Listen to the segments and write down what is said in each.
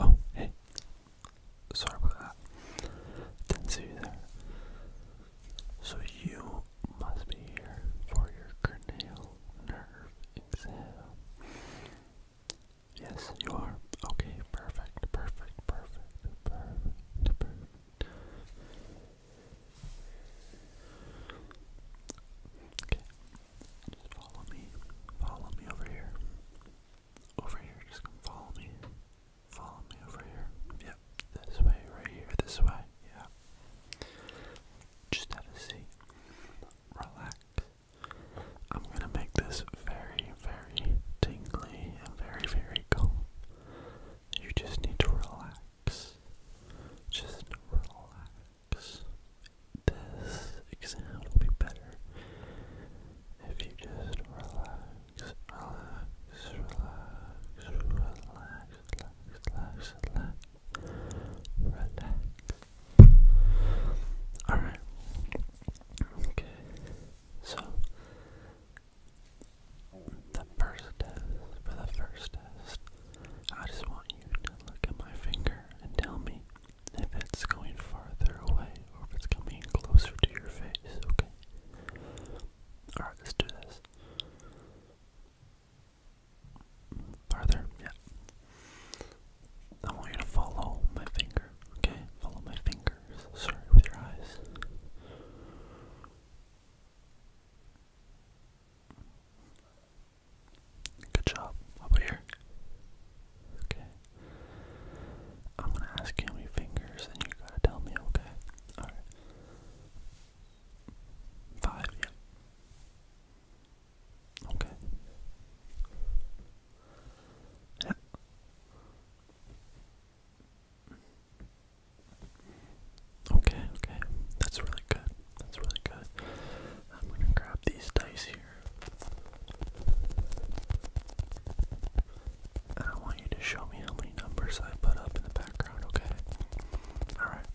Oh, hey. Sorry about that. Didn't see you there. So you must be here for your cranial nerve exam. Yes, you are. Okay, perfect, perfect, perfect, perfect, perfect. Just follow me. Follow me over here. Over here. Just come follow me. Follow me over here. Yep. This way. Right here. This way. Yeah. Just have a seat. Relax. I'm gonna make this very, very tingly and very, very cool. You just need to relax. Just relax. This exam will be better if you just relax, relax, relax, relax, relax, relax, relax. Alright. Okay. So the first test for the first test. I just I want you to look at my finger and tell me if it's going farther away or if it's coming closer to your face, okay? Alright, let's do this. Farther, yeah. I want you to follow my finger, okay? Follow my fingers. Sorry, with your eyes. Good job. How here? Okay. I'm gonna ask you how many fingers and you gotta tell me, okay? Alright. Five, yeah. Okay. Yeah. Okay, okay. That's really good. That's really good. I'm gonna grab these dice here. And I want you to show me how many numbers I put up in the background, okay? Alright.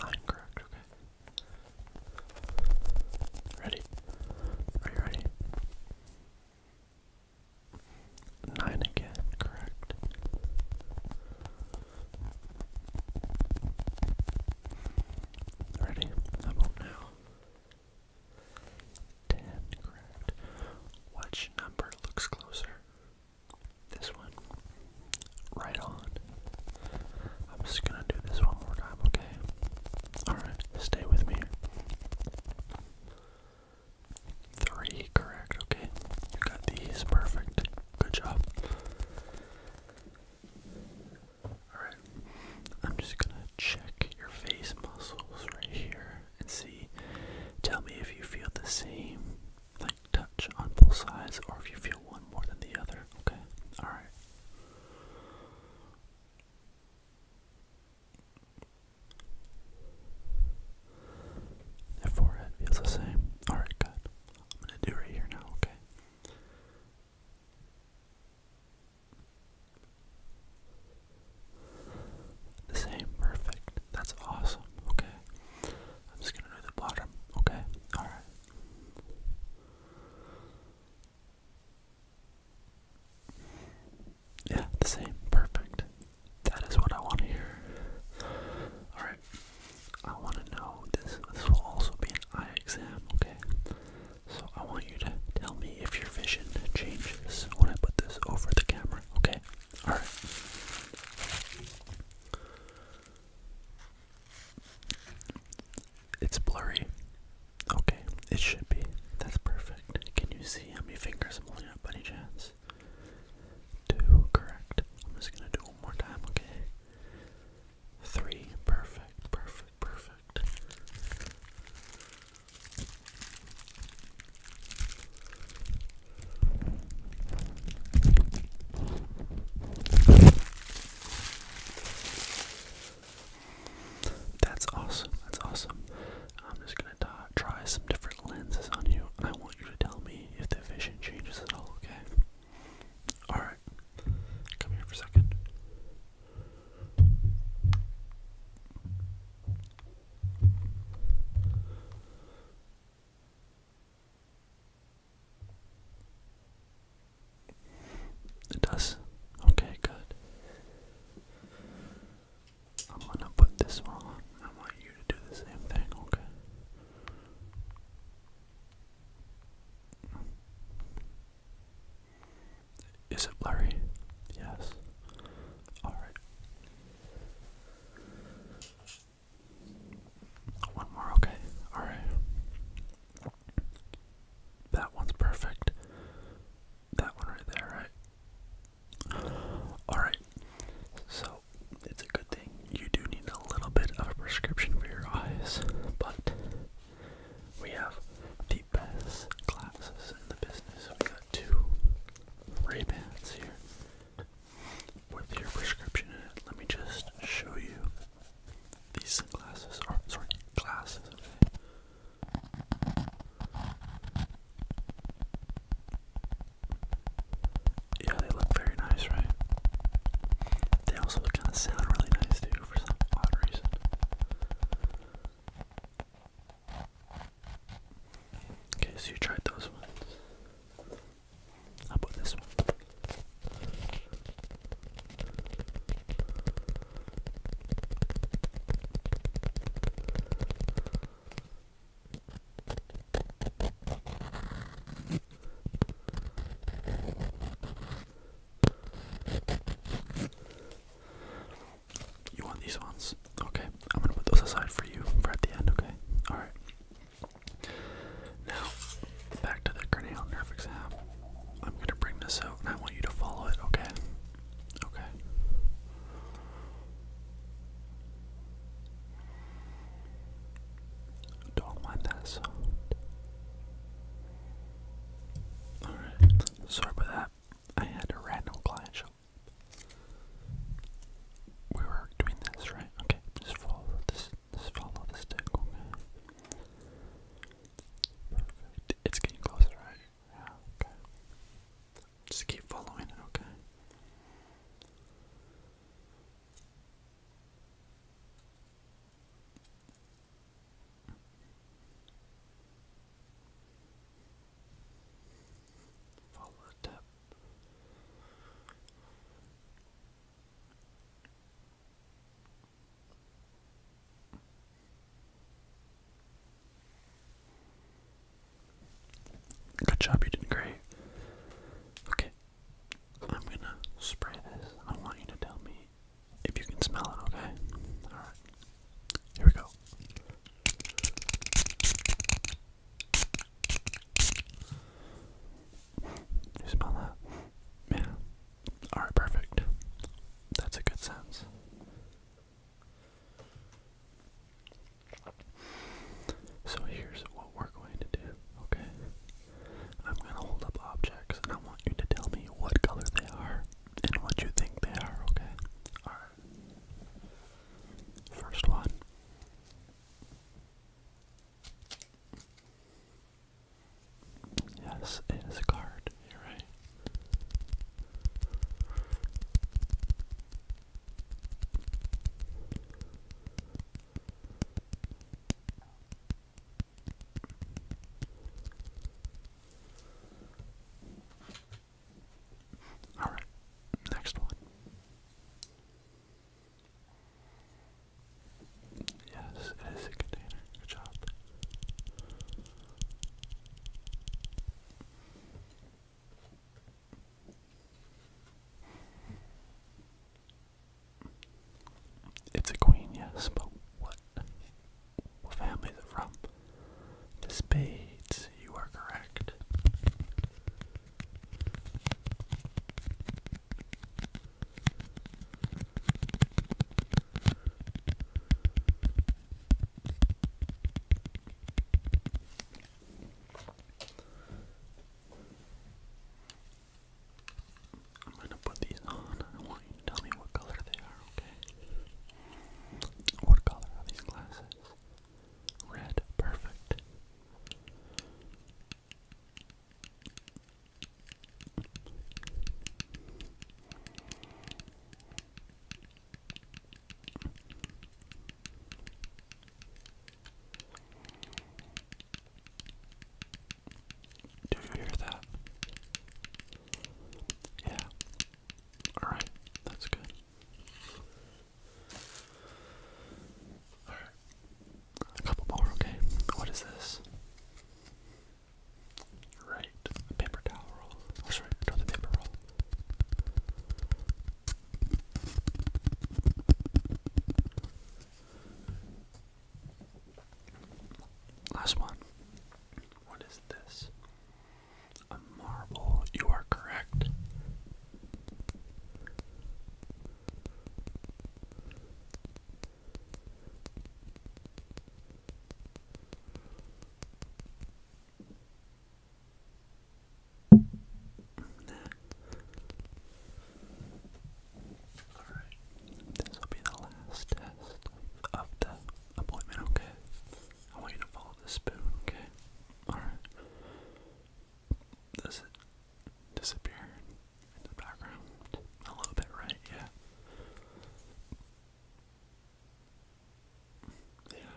Nine correct, Ready? Are you ready? Nine again, correct. Ready? How now? Ten, correct. Which number looks closer? This one. Right on. I'm just gonna do this one more time, okay? Alright, stay with me. Three, correct, okay? You got these, perfect. Good job. Alright, I'm just gonna check your face muscles right here and see. Tell me if you feel the same, like touch on both sides, or if you feel one more than the other. Okay, alright. The forehead feels the same. Alright, good. I'm gonna do right here now, okay? The same, perfect. That's awesome, okay? I'm just gonna do the bottom, okay? Alright. Yeah, the same, perfect. That is what I want to hear. Alright, I want to know this. This will also be an eye exam, okay? So I want you to tell me if your vision changes when I put this over the camera, okay? All right. It's blurry. Okay, it should be. That's perfect. Can you see how many fingers I'm holding up by any chance? Two, correct. I'm just gonna do one more time, okay? Three. Perfect, perfect, perfect. That's awesome. That's awesome. I'm just gonna try some different lenses on you. and I want you to tell me if the vision changes at all, okay? Alright. Come here for a second. It does. Okay, good. I'm gonna put this one on. I want you to do the same thing, okay? Is it blurry? Yes. All right. One more, okay. All right. That one's perfect. That one right there, right? All right. So it's a good thing. You do need a little bit of a prescription for your eyes, but we have the best glasses in the business. We got two Ray-Bans here with your prescription in it. Let me just show you these sunglasses, or sorry, glasses. Yeah, they look very nice, right? They also kind of sound really nice too for some odd reason. Okay, so you tried those ones. How about this one? You want these ones? Okay, I'm gonna put those aside for you for at the end, okay? Alright. Now, back to the cranial nerve exam. I'm gonna bring this out and I want you to follow it, okay? Okay. Don't mind that Alright, sorry about that. I had a random client show. We were doing this, right? Okay, just follow this just follow the stick, okay? Perfect. It's getting closer, right? Yeah, okay. Just keep following it, okay? Follow the Good job, you did great. Okay, I'm gonna spray this. I want you to tell me if you can smell it, okay? Alright. Here we go. You smell that? Yeah. Alright, perfect. That's a good sense. So here's what we're going to do, okay? I'm going to hold up objects and I want you to tell me what color they are and what you think they are, okay? Alright. First one. Yes, it is a card. You're right. All right, next one. Yes, it is a container. Good job. It's a queen, yes, but what? What family is it from? The spades, you are correct. I'm gonna put these on I want you to tell me what color they are, okay? What color are these glasses? Red, perfect. Do you hear that? Yeah. Alright, that's good. Alright. A couple more, okay? What is this? Right. paper towel roll. Oh, sorry, not the paper roll. Last one. What is this? A marble. You are correct. Alright, this will be the last test of the appointment, okay? I want you to follow the spoon, okay? Alright. Does it disappear in the background? A little bit, right? Yeah. Yeah.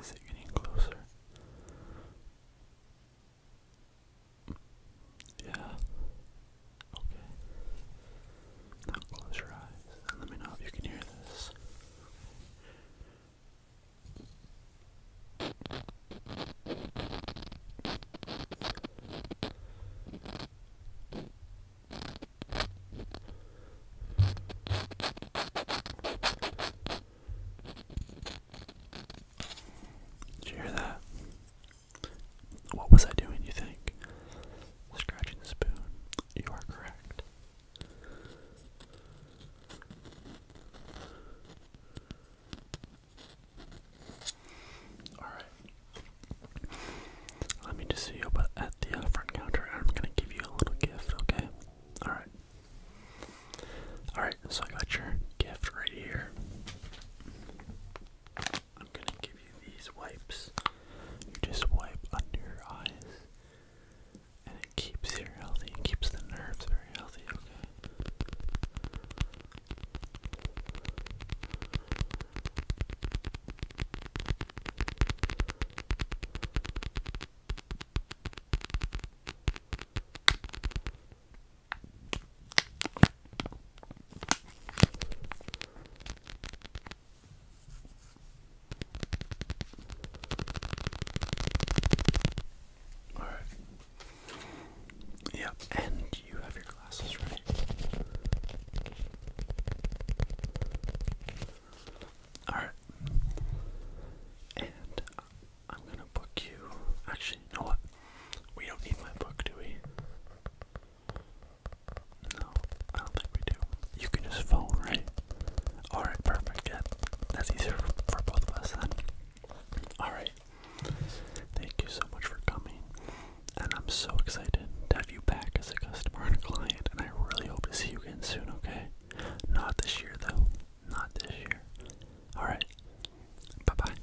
Is it getting closer? Yeah. Okay. Now close your eyes let me know if you can hear this. Did you hear that? What was I doing, you think? Scratching the spoon. You are correct. Alright. Let me just see you up at the front counter I'm gonna give you a little gift, okay? Alright. Alright, so I got your gift right here. I'm gonna give you these wipes. You just wipe under your eyes, and it keeps you healthy. It keeps the nerves very healthy. Okay. All right. Yep, and you have your glasses ready. All right. And I'm gonna book you. Actually, you we don't need my book, do we? No, I don't think we do. You can just phone, right? Alright, perfect. Yeah, that's easier for both of us then. Alright. Thank you so much for coming. And I'm so excited to have you back as a customer and a client. And I really hope to see you again soon, okay? Not this year, though. Not this year. Alright. Bye bye.